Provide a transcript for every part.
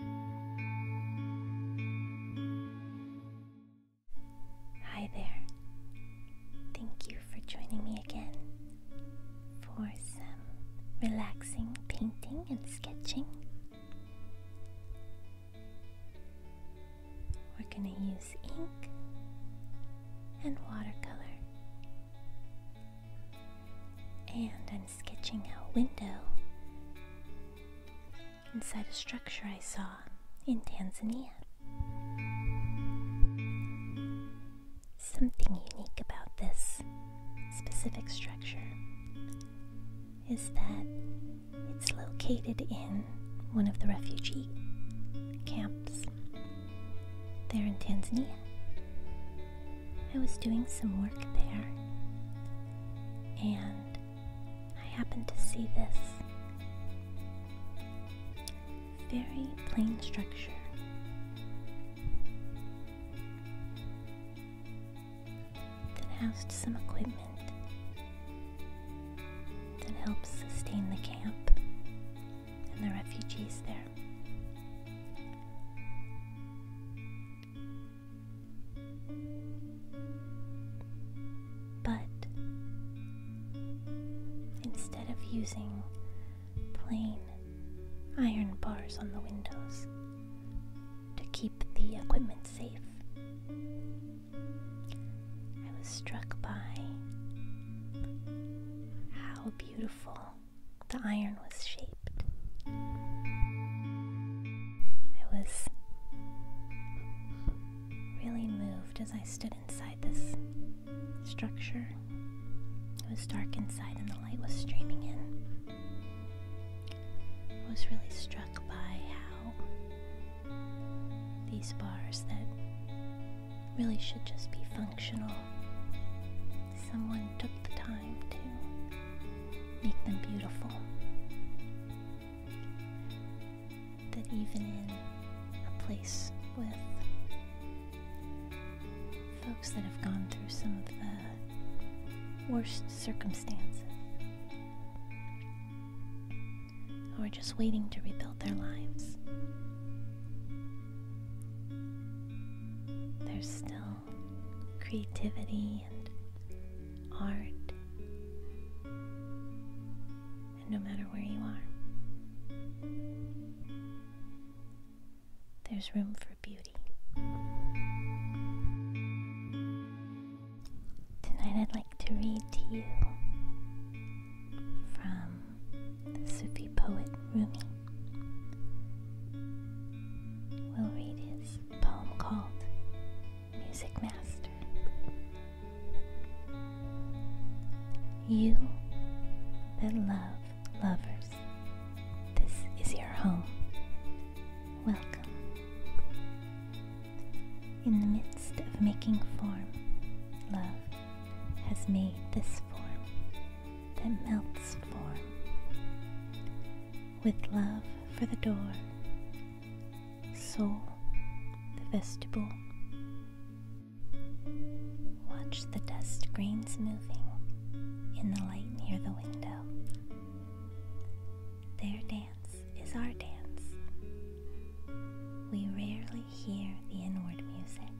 Hi there. Thank you for joining me again for some relaxing painting and sketching. We're going to use ink and watercolor and an sketching out window inside a structure I saw in Tanzania. Something unique about this specific structure is that it's located in one of the refugee camps there in Tanzania. I was doing some work there, and I happened to see this very plain structure. that Housed some equipment that helps sustain the camp and the refugees there. But instead of using plain iron bars on the windows to keep the equipment safe, I was struck by how beautiful the iron was shaped. I was really moved as I stood inside this structure. It was dark inside and the light was streaming in. I was really struck by how these bars that really should just be functional, someone took the time to make them beautiful. That even in a place with folks that have gone through some of the worst circumstances or just waiting to rebuild their lives, there's still creativity and art, and no matter where you are, there's room for beauty. Tonight, I'd like to read to you from the Sufi poet Rumi. We'll read his poem called Music Master. You that love lovers, this is your home. Welcome. In the midst of making form, love has made this form that melts form with love for the door, soul the vestibule. Watch the dust grains moving in the light near the window. Their dance is our dance. We rarely hear the inward music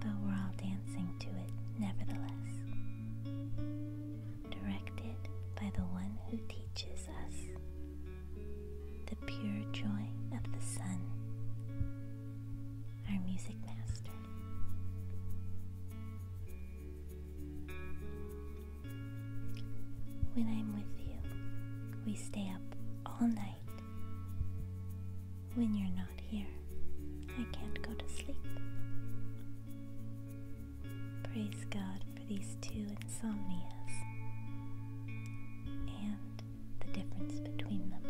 but we're all dancing to it nevertheless. Directed by the one who teaches us the pure joy of the sun, our music master. When I'm with you, we stay up all night. When you're not here, I can't go to sleep. Praise God for these two insomnias and the difference between them.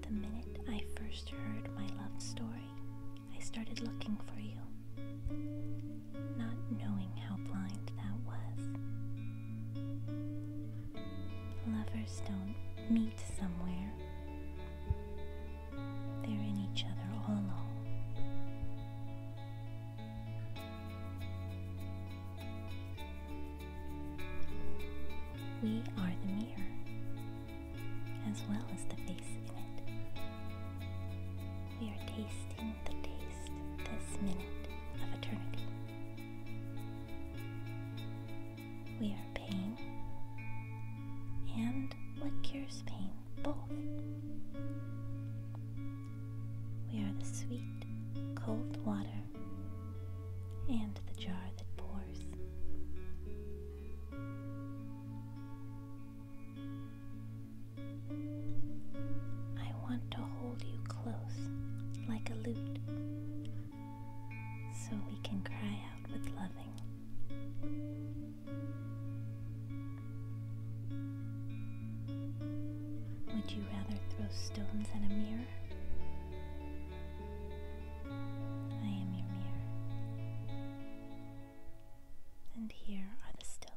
The minute I first heard my love story, I started looking for you not knowing how blind that was. Lovers don't meet somewhere, they're in each other all along. We are the mirror, as well as the face in it. We are tasting the taste this minute of eternity. We are pain and what cures pain, both. We are the sweet, cold water and the jar that pours. I want to hold you close like a lute so we can cry out with loving. Would you rather throw stones at a mirror? I am your mirror. And here are the stones.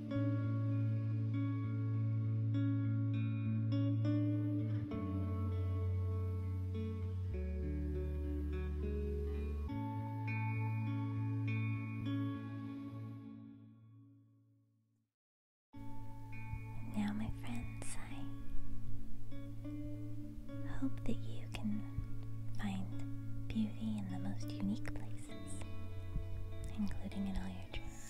now, my friends, I hope that you can find beauty in the most unique places, including in all your dreams.